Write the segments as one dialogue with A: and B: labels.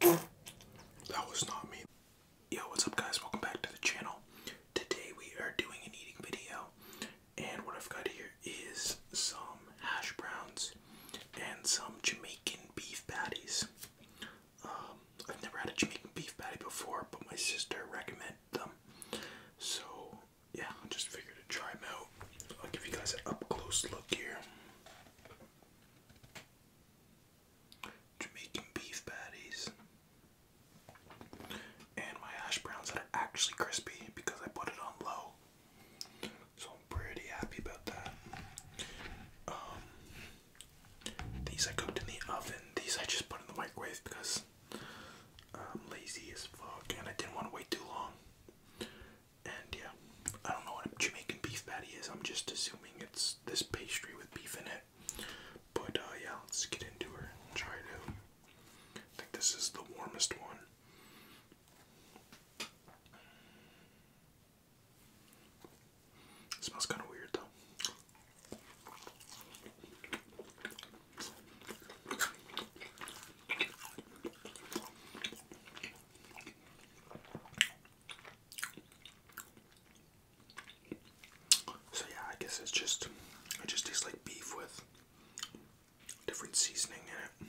A: That was not me. Yo, what's up guys? Welcome back to the channel. Today we are doing an eating video and what I've got here is some hash browns and some Jamaican beef patties. Um, I've never had a Jamaican beef patty before, but my sister recommended them. So yeah, I just figured to try them out. I'll give you guys an up close look here. Jamaican beef patties, and my hash browns that are actually crispy because I put it on low. So I'm pretty happy about that. Um, these I cooked in the oven. These I just put in the microwave because I'm lazy as fuck and I didn't want to wait too long. And yeah, I don't know what Jamaican beef patty is. I'm just assuming it's this pastry with beef in it. But uh, yeah, let's get into her try it out. I think this is the warmest one. smells kind of weird though. So yeah, I guess it's just it just tastes like beef with different seasoning in it.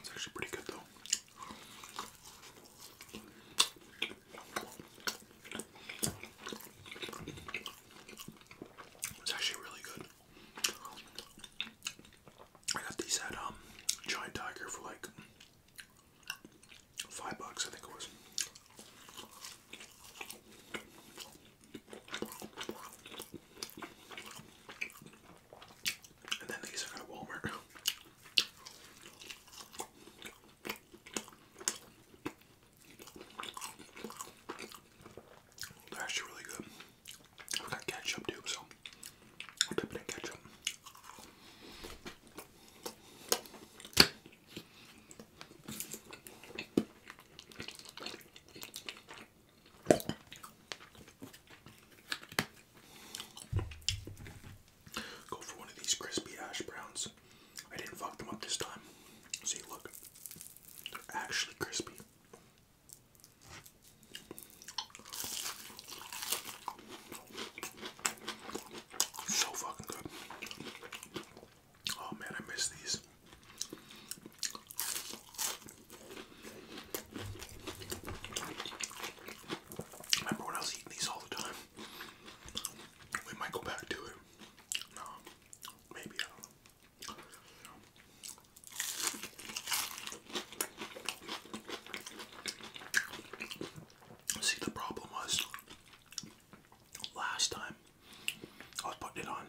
A: It's actually pretty good though. It's actually really good. I got these at um Giant Tiger for like five bucks, I think it was. And then these I got at Walmart. They're actually really good. I've got ketchup too, so I'll dip it in ketchup. Go for one of these crispy hash browns. I didn't fuck them up this time. See, look, they're actually crispy. So fucking good. Oh man, I miss these. remember when I was eating these all the time. We might go back to it. No, maybe I don't See, the problem was last time I was putting it on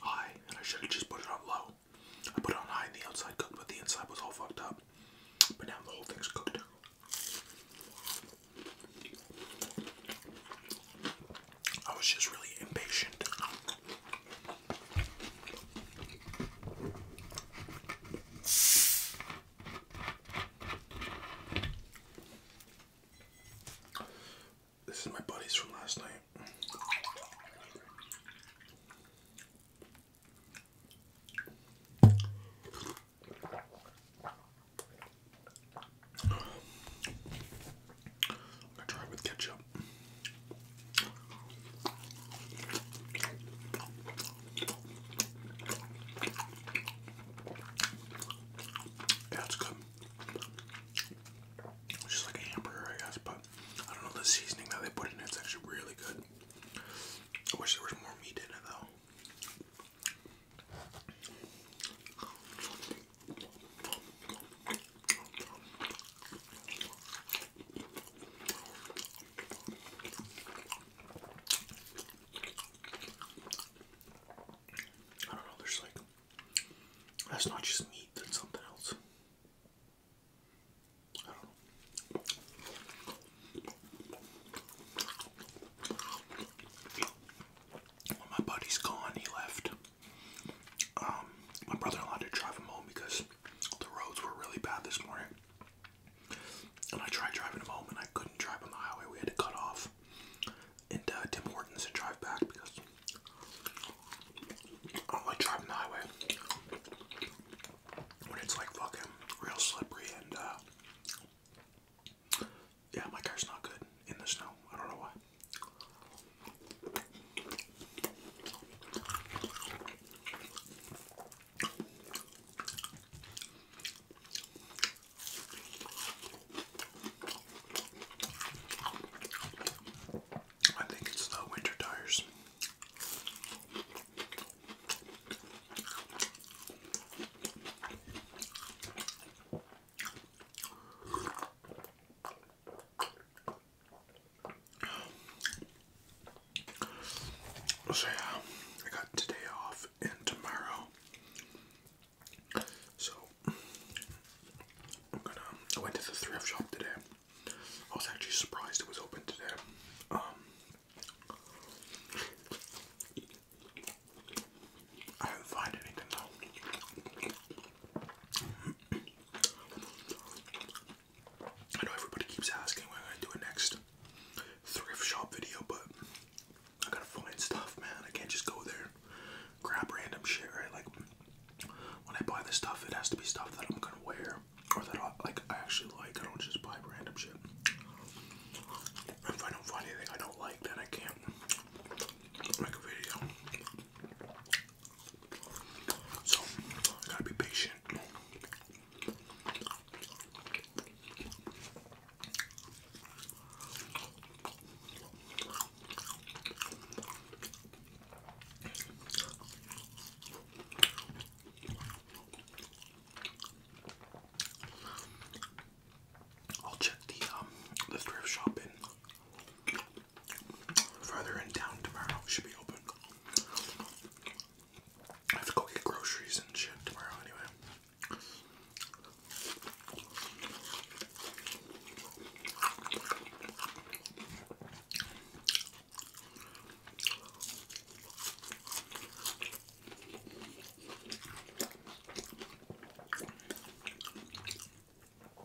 A: high, and I should have just put it on low. I put it on high and the outside cooked, but the inside was all fucked up. But now the whole thing's cooked. I was just really impatient. This is my buddy's from last night. I try it with ketchup. Yeah, it's good. just like a hamburger, I guess, but I don't know the seasoning that they put in It's actually really good. I wish there was more meat in it, though. I don't know, there's like, that's not just meat, that's something else. I don't know. my buddy's gone, he left. Um, my brother-in-law to drive him home because the roads were really bad this morning. And I tried driving him home and I couldn't drive on the highway. We had to cut off and uh, Tim Hortons and drive back because I don't like driving the highway when it's like fucking real slippery and uh, yeah, my car's not good in the snow. I don't know why. I think it's the winter tires. So yeah, I got today off and tomorrow. So I'm gonna. I went to the thrift shop today. I was actually surprised it was open today. Um, I didn't find anything though. I know everybody keeps asking when I'm gonna do a next thrift shop video, but I gotta find stuff, man. I can't just go there, grab random shit, right? Like when I buy this stuff, it has to be stuff that I'm gonna wear or that I like. I actually like. I don't just buy random shit. If I don't find anything I don't like, then I can't make a video. So, I gotta be patient. I'll check the um the thrift shop in Further in town tomorrow should be open. I have to go get groceries and shit tomorrow anyway.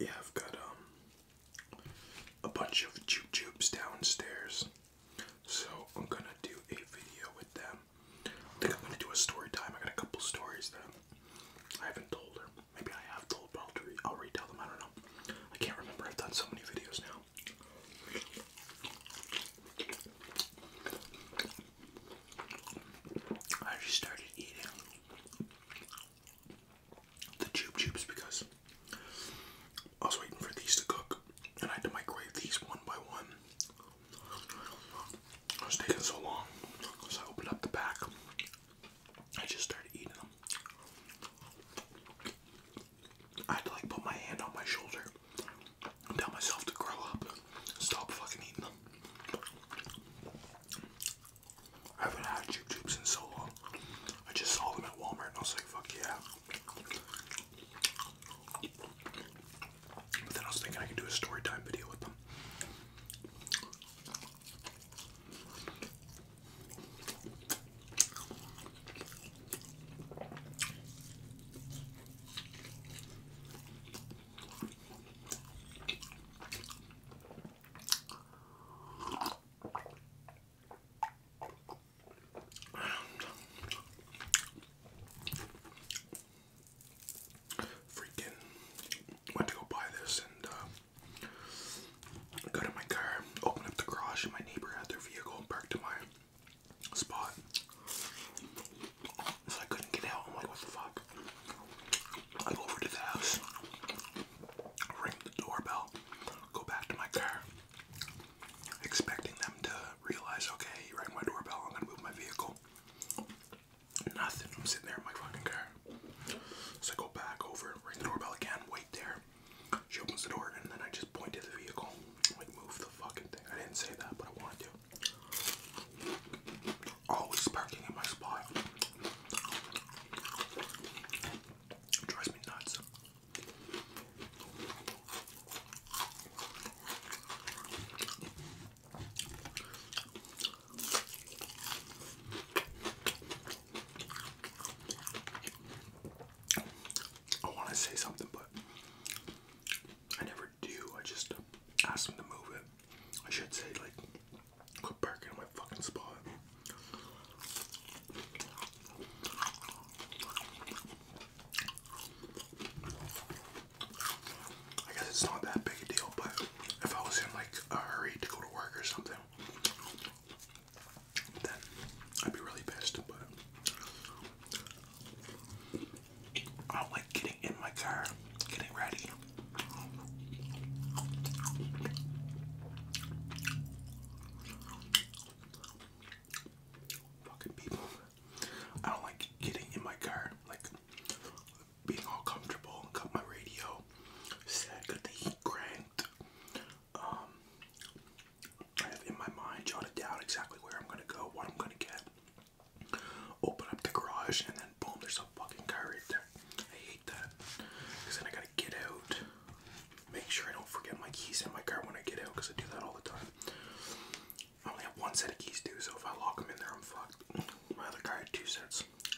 A: Yeah, I've got um, a bunch of Jube Jubes downstairs, so I'm gonna do a video with them. I think I'm gonna do a story time. I got a couple stories that I haven't told her. Maybe I have told, but I'll, re i retell them. I don't know. I can't remember. I've done so many videos now. I just started eating the Jube Jubes because I was waiting for these to cook and I had to microwave these one by one. It was taking so long, so I opened up the pack I just started eating them. I had to like put my hand on my shoulder and tell myself to grow up. Stop fucking eating them. I haven't had Jube Jubes in so long. I just saw them at Walmart and I was like, fuck yeah. But then I was thinking I could do a story time video with them. Freaking went to go buy this and uh, Go to my car, open up the garage, and my neighbor had their vehicle parked in my spot. So I couldn't get out. I'm like, what the fuck? I go over to the house, ring the doorbell, go back to my car, expecting them to realize, okay, you rang my doorbell, I'm gonna move my vehicle. Nothing. I'm sitting there in my fucking car. So I go back over, ring the doorbell again, wait there. She opens the door, and then I just point to the vehicle. Like, move the fucking thing. I didn't say that, but I wanted to. Always parking in my spot. drives me nuts. I want to say something, but I never do. I just ask them to move it. I should say, like, quit parking in my fucking spot. I guess it's not that big a deal, but if I was in like a hurry to go to work or something, then I'd be really pissed. But I don't like getting in my car, getting ready. Fucking people. I don't like getting in my car, like being all comfortable, got my radio set, got the heat I have in my mind jotted down exactly where I'm gonna go, what I'm gonna get. Open up the garage and then boom, there's a fucking car right there. I hate that. Cause then I gotta get out, make sure I don't forget my keys in my car when I get out, cause I do that all the time. I only have one set of keys too, so if I lock them in there, I'm fucked. My other car had two sets.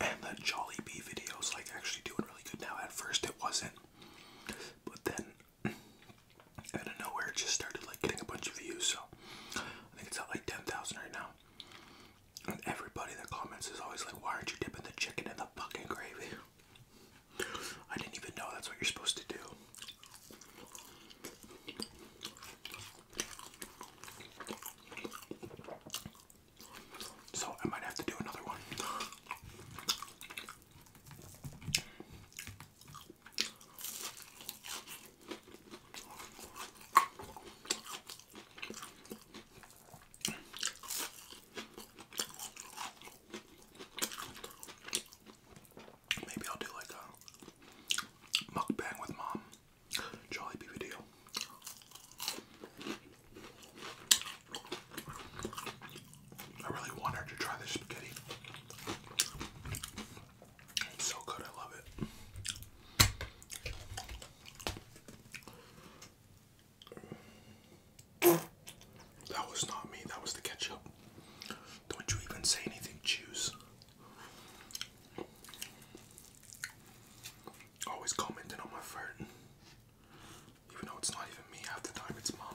A: And the Jolly video is like actually doing really good now. At first it wasn't. But then out of nowhere it just started like getting a bunch of views. So I think it's at like 10,000 right now. And everybody that comments is always like, why aren't you dipping the chicken in the fucking gravy? I didn't even know that's what you're supposed to do. So I might have to do another one. Maybe I'll do like a mukbang with mom. Jollibee video. I really want to try this spaghetti. It's so good, I love it. That was not me, that was the ketchup. Don't you even say anything, choose. Always commenting on my fart, even though it's not even me half the it's mom.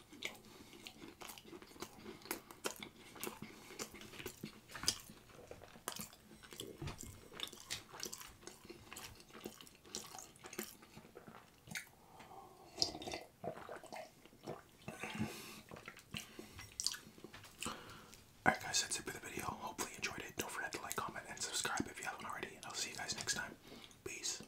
A: Alright guys, that's it for the video. Hopefully you enjoyed it. Don't forget to like, comment, and subscribe if you haven't already. And I'll see you guys next time. Peace.